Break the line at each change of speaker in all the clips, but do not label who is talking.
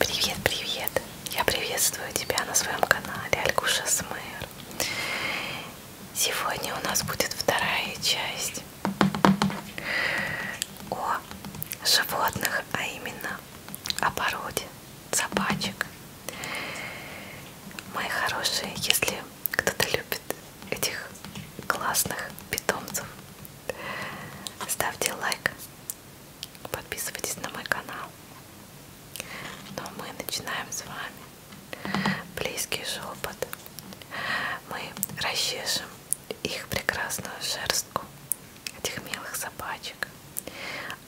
Привет, привет! Я приветствую тебя на своем канале Алькуша Смэр. Сегодня у нас будет вторая часть о животных, а именно о породе собачек. Мои хорошие, если кто-то любит этих классных питомцев, Ставьте лайк, подписывайтесь на мой канал. Но ну, а мы начинаем с вами близкий шепот. Мы расчешем их прекрасную шерстку, этих милых собачек,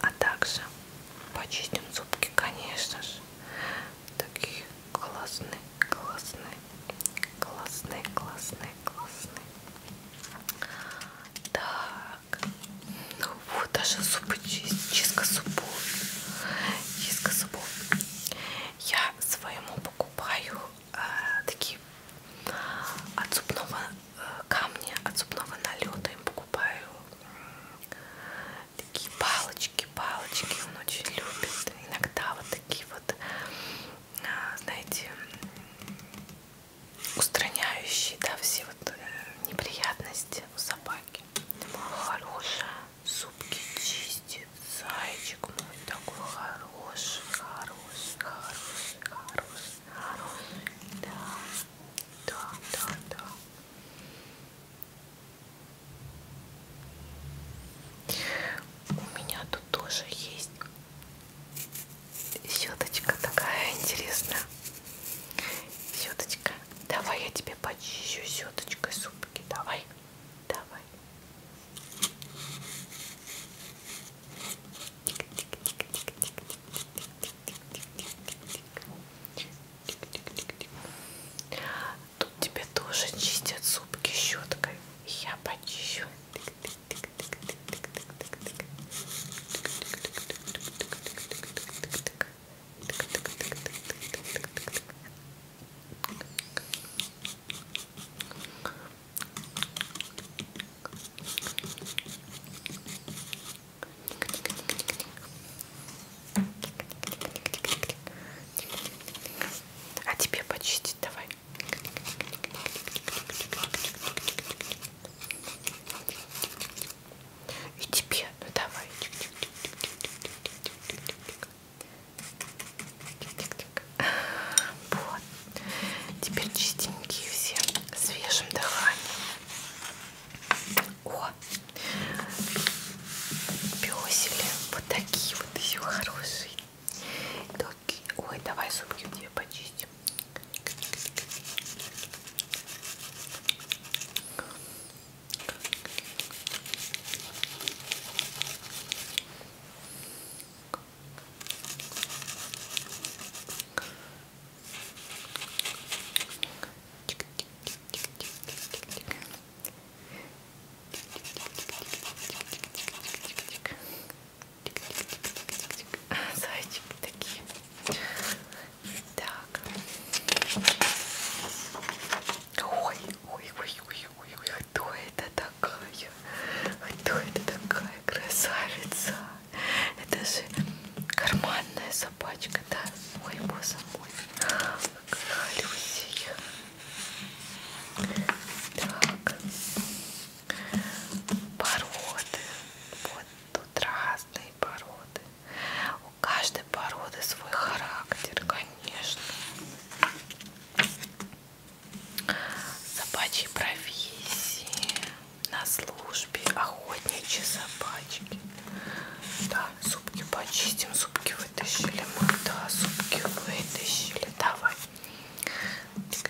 а также почистим зубки, конечно же. Такие классные, классные, классные, классные, классные. Так, ну вот даже зубы, чистка зубов, чистка зубов. Я своему покупаю э, такие от зубного э, камня, от зубного налета им покупаю такие палочки, палочки. Он очень любит. Иногда вот такие вот Э, знаете, устраняющий, да, все вот э, неприятности у собаки. Хорошая, зубки чистит, зайчик мой такой хороший, хороший, хороший, хороший, хороший, да, да, да, да. У меня тут тоже есть Щеточка такая интересная. Щеточка. Давай я тебе почищу щеточкой зубки. Давай. Давай. Тут тебе тоже чистят зубки щеткой. Я почищу. Тик -тик а тебе почистить давай. И тебе, ну давай. Вот. Теперь чистенькие все, свежим дыханием. О, песели вот такие вот еще хорошие. Да, зубки. Ой, давай зубки у тебя почистим. Зайчики такие. Так. Ой, ой, ой, ой, ой, ой, кто это такая? Кто это такая красавица? Это же карманная собачка, да? Ой, боже мой. Какая Люсия. Так породы. Вот тут разные породы. У каждой породы свой характер, конечно. Собачьи профессии на службе охотничьи собачки. Да, зубки почистим, зубки вытащили мы, да, зубки вытащили, давай. Тик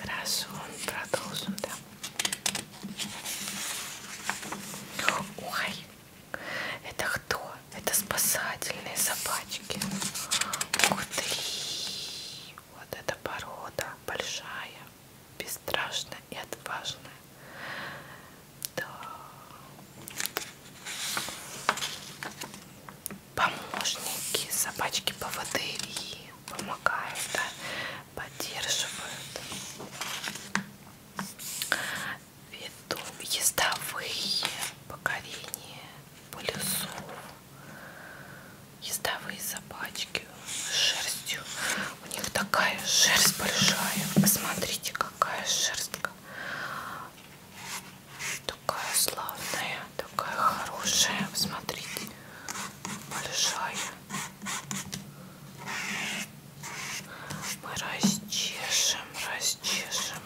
Хорошо, продолжим, да. Ой, это кто? Это спасательные собачки. Ух ты! Вот эта порода большая бесстрашная и отважная. Да. Помощники, собачки поводыри помогают, да, поддерживают. Веду ездовые покорения полюсов, ездовые собачки шерстью. У них такая шерсть большая. Посмотрите, какая шерстка. Такая славная, такая хорошая. Смотрите, большая. Мы расчешем, расчешем.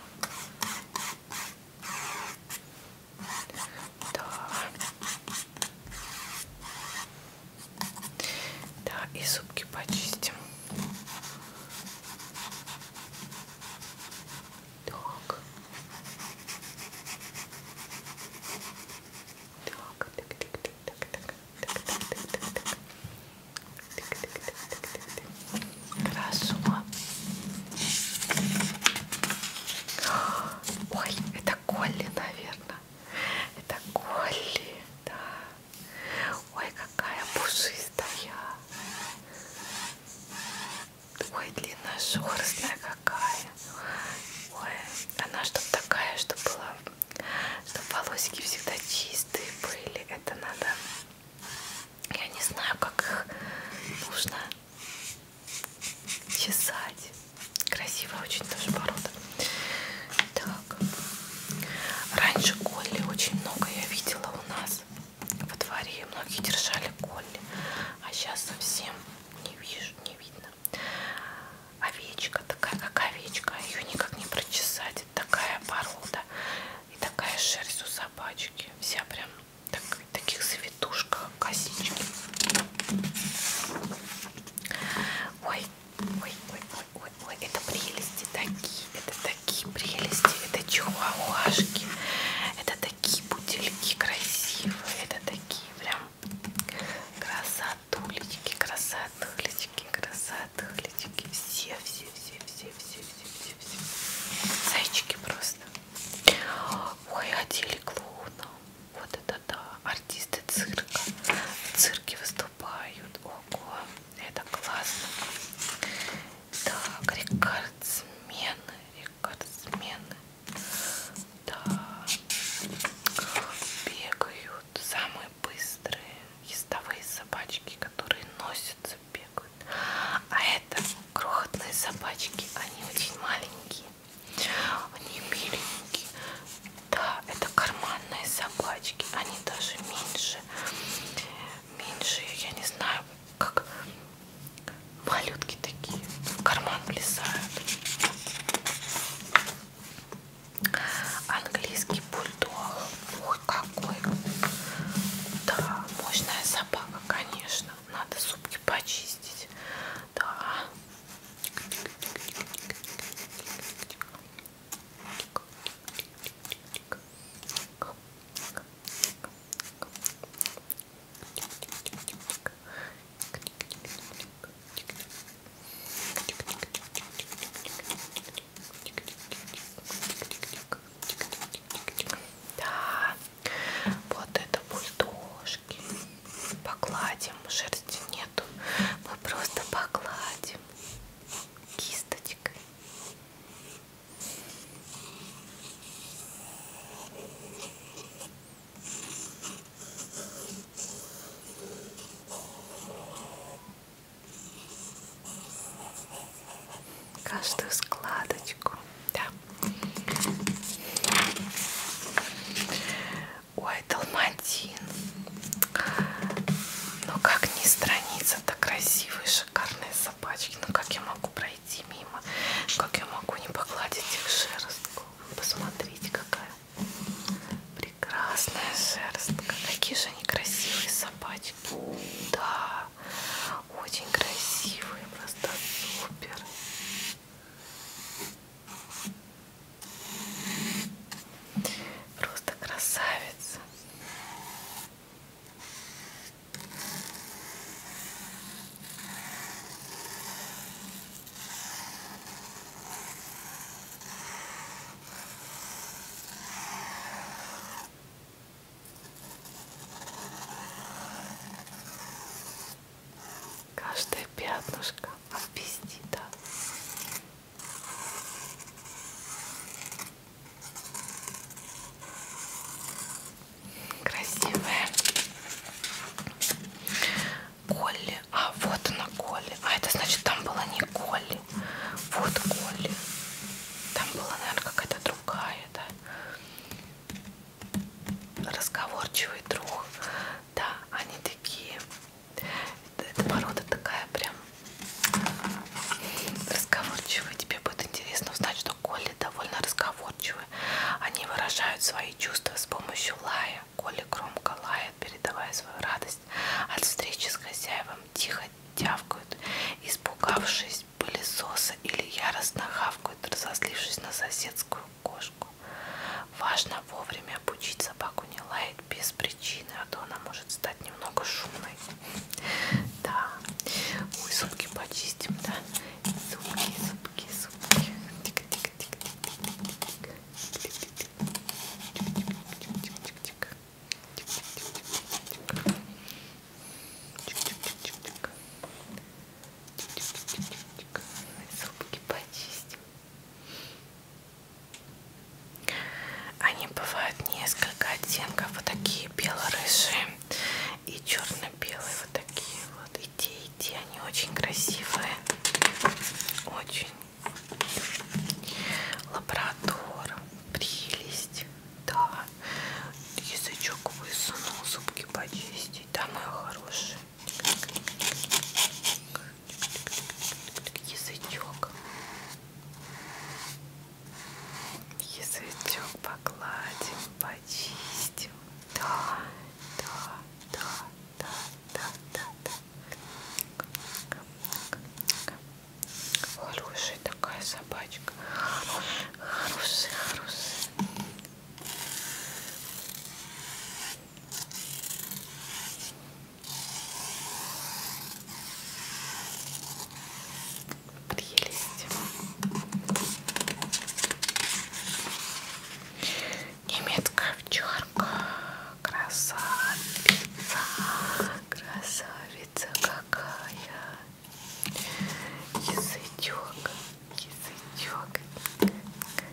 Да. Да, и зубки почистим. Так. Так, так, так, так, так, так, так, так, так, так, так. Красота. Ой, это Колли, наверное. Это Колли, да. Ой, какая пушистая. Ой, длинношерстная какая. Ой, она что-то такая, что была, чтобы волосики всегда чистые были. Это надо... Я не знаю, как их нужно чесать. Красивая очень даже порода. Так. Раньше колли очень много я видела у нас во дворе. Многие держали колли. А сейчас совсем не вижу, не видно. Овечка такая, как овечка. А Ее никак не прочесать. Такая порода. И такая шерсть у собачки. Вся прям так, таких завитушках, косички. Ой, Ой, ой, ой, ой, ой, это прелести такие, это такие прелести, это чухуашки, это такие бутыльки красивые, это такие прям красотулечки, красотулечки, красотулечки, все, все, все, все, все, все, все, все, зайчики просто. Ой, одели а клоуна. Вот это да, артисты цирка. В цирке выступают. Ого, это классно. Так, рекордсмены, рекордсмены. Да, бегают. Самые быстрые ездовые собачки, которые носятся, бегают. А это крохотные собачки, они очень маленькие. Они миленькие. Да, это карманные собачки. Они даже меньше. Меньше, я не знаю, как малютки такие. В карман влезают. Английский бульдог. Ой, какой. Да, мощная собака, конечно. Надо зубки почистить. Да. Да, вот это пусть дошки. Покладим, шерсти нету. Мы просто покладим кисточкой. Каждую складочку, да. Ой, Далматин. Но ну, как ни страница-то красивые, шикарные собачки. Ну как я могу пройти мимо? Как я могу не погладить их шерстку? Посмотрите, какая прекрасная шерстка. Какие же они красивые собачки. Да, очень красивые, просто супер. Просто красавица. Каждое пятнышко от пестита. Красивая. Колли. А, вот она Колли. А, это значит, там была не Колли. Вот Колли. Там была, наверное, какая-то другая, да? Разговорчивый друг. Да, они такие эта порода такая прям разговорчивая. Тебе будет интересно узнать, что Колли довольно разговорчивые. Они выражают свои чувства с помощью лая. Колли громко лает, передавая свою радость от встречи с хозяевом. Тихо тявкают, испугавшись пылесоса или яростно хавкают, разозлившись на соседскую кошку. Важно вовремя обучить собаку не лаять без причины, а то она может стать немного шумной. Да. Ой, зубки почистим, да? Зубки, зубки, зубки. Зубки почистим. Они бывают несколько оттенков, вот такие бело-рыжие и черно-белые, вот такие вот. И те, и те, они очень красивые, очень. Лабрадор, прелесть, да. Язычок высунул, зубки почистить, да, мои хорошие. Язычок. Язычок погладим, почистим. Да, да, да, да, да, да, да. Хорошая такая собачка. Хорошая, хорошая. Подъели Немецкая овчарка. Красавица. Красавица какая. Язычок. Язычок.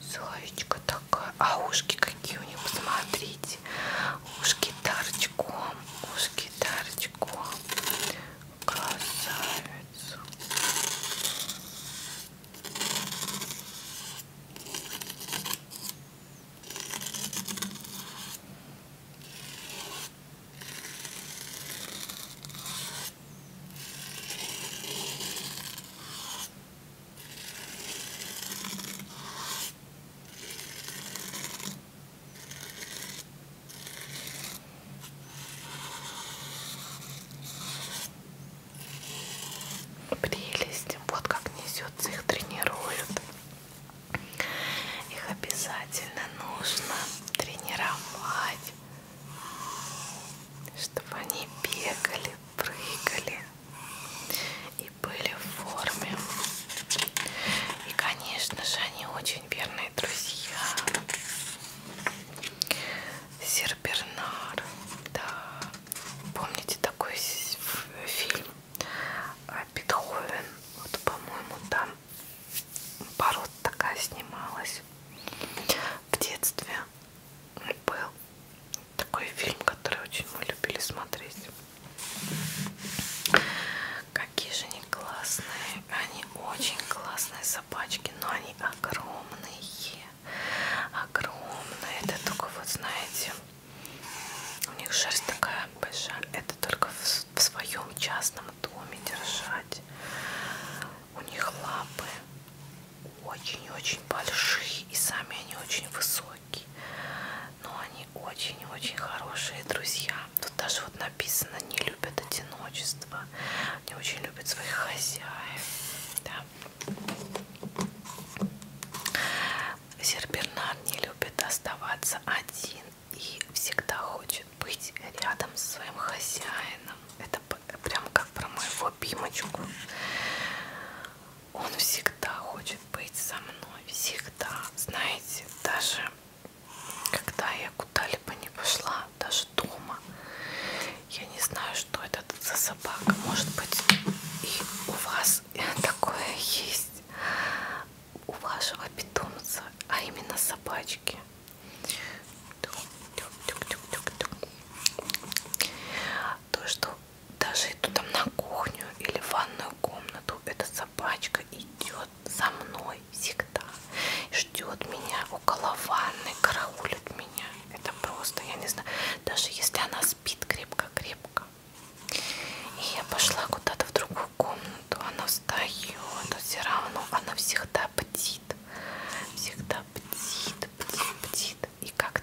Славичка такая. А ушки какие у них, посмотрите. Ушки торчком. Ушки торчком. Красавица. Прелесть, вот как несется, их тренируют. Их обязательно нужно тренировать, чтобы они бегали, прыгали и были в форме. И, конечно же, они очень верные друзья. Сербернар, да. Помните такой фильм а, Бетховен? Вот, по-моему, там пород такая снималась в детстве. Был такой фильм, который очень мы любили смотреть. Какие же они классные, они очень классные собачки, но они огромные, огромные. Это только вот знаете, у них шерсть такая большая. Это только в, в своем частном доме держать. У них лапы очень-очень большие и сами они очень высокие но они очень-очень хорошие друзья тут даже вот написано не любят одиночество они очень любят своих хозяев да. Сербернар не любит оставаться один и всегда хочет быть рядом со своим хозяином это прям как про моего Бимочку. Он всегда хочет быть со мной, всегда. Знаете, даже когда я куда-либо не пошла, даже дома, я не знаю, что это за собака. Может быть, и у вас такое есть, у вашего питомца, а именно собачки. То, что даже иду там на кухню или в ванную комнату, эта собачка идет за мной всегда, ждет меня около ванны, караулит меня. Это просто, я не знаю, даже если она спит крепко-крепко. И я пошла куда-то в другую комнату, она встает, все равно она всегда бдит, всегда бдит, бдит, бдит. И как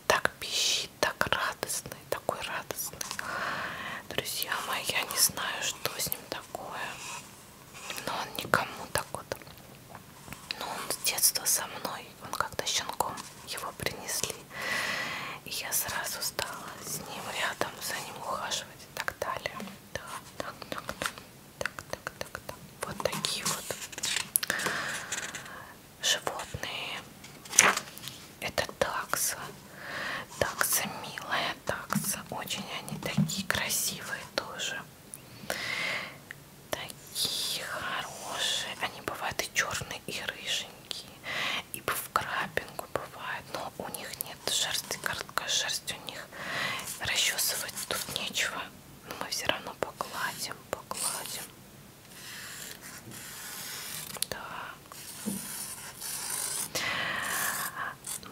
так пищит, так радостный, такой радостный. Друзья мои, я не знаю, что с ним такое. Но он никому так вот. Но он с детства со мной. Он как-то щенком его принесли. И я сразу стала с ним рядом, за ним ухаживать и так далее. Да, так, так, так, так, так, так, так. Вот такие вот животные. Это такса. Такса милая, такса. Очень они такие красивые тоже. Такие хорошие. Они бывают и черные, и рыженькие. И в крапинку бывают. Но у них нет шерсти. Короткая шерсть у них. Расчесывать тут нечего. Но мы все равно погладим, погладим. Да.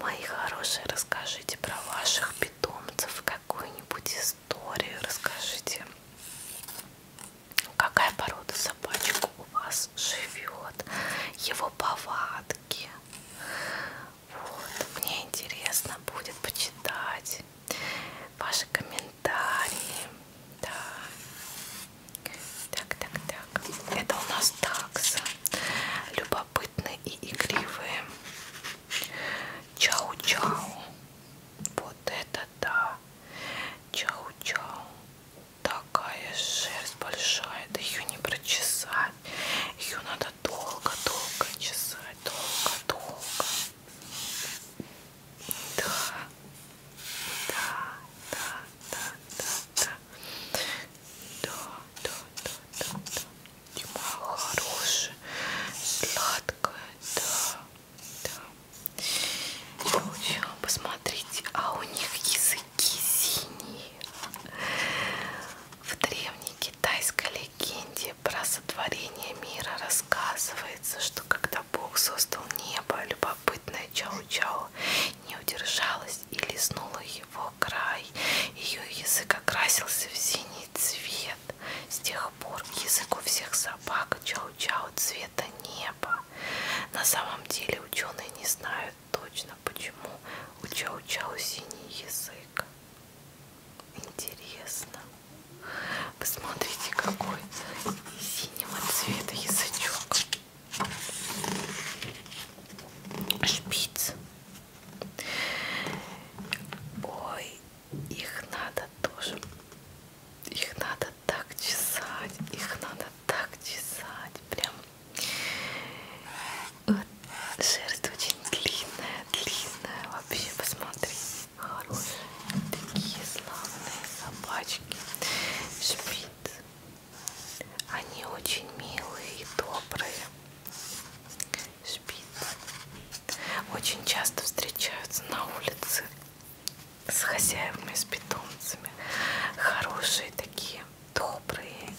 Мои хорошие, расскажите про ваших питомцев какую-нибудь историю. Расскажите, какая порода собачек у вас живет, его повадки. Вот, мне интересно будет почитать ваши комментарии комментарии. Да. Так, так, так. Это у нас такса. Любопытные и игривые. Чау-чау. Вот это да. Чау-чау. Такая шерсть большая. Да ее не прочесать. Ее надо долго-долго чесать. Долго-долго. Да, да, да, да, да, да, да, да, да, да, да. Моя хорошая, сладкая, да, да. Короче, посмотрите, а у них языки синие. В древней китайской легенде про сотворения мира рассказывается, что когда Бог создал небо, любопытная Чау-Чау не удержалась и лизнула его край. Ее язык окрасился в синий цвет. С тех пор язык у всех собак Чау-Чау цвета неба. На самом деле ученые не знают точно, почему у Чау-Чау синий язык. Интересно. Посмотрите, какой синего цвета язычок. Шпиц. Ой, их надо тоже. Их надо так чесать. Их надо так чесать. Прям. Вот, э, шерсть очень длинная, длинная. Вообще, посмотрите. Хорошие, такие славные собачки. Шпиц. Они очень милые и добрые. Шпиц. Очень часто встречаются на улице с хозяевами, с питомцами. Хорошие такие, добрые,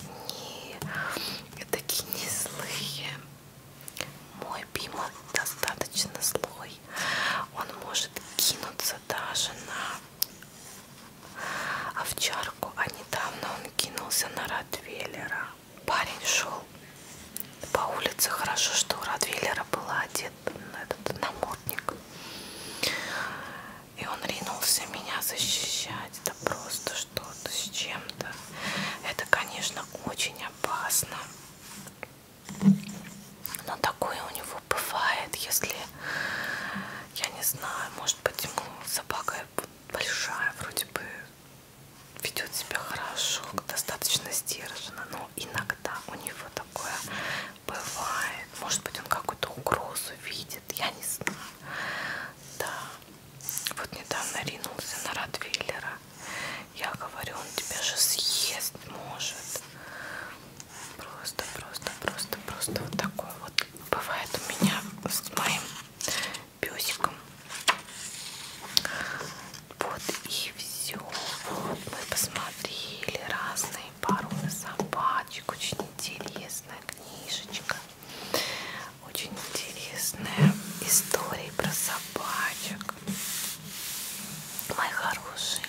не такие не злые мой пима достаточно слой. Он может кинуться даже на овчарку, а недавно он кинулся на Ротвейлера. Парень шел по улице. Хорошо, что у Ротвейлера был одет на этот намордник. И он ринулся меня защищать. Это просто что-то с чем-то. Это, конечно, очень опасно. Но такое у него бывает, если, я не знаю, может быть, ему собака большая, вроде бы ведет себя хорошо, достаточно сдержанно, но иногда у него такое бывает. Может быть, он какую-то угрозу видит, я не знаю. Да. Вот недавно ринулся на Ротвейлера. Я говорю, он тебя же съест может. Просто, просто, просто, просто вот такой вот. Бывает у меня с моим песиком. Вот и все. Вот мы посмотрели разные породы собачек. Очень интересная книжечка. Очень интересная история про собачек мои хорошие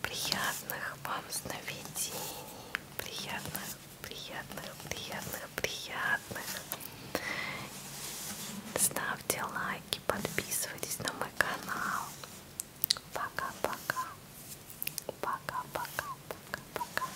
приятных вам сновидений приятных приятных приятных приятных ставьте лайки подписывайтесь на мой канал пока пока пока пока пока пока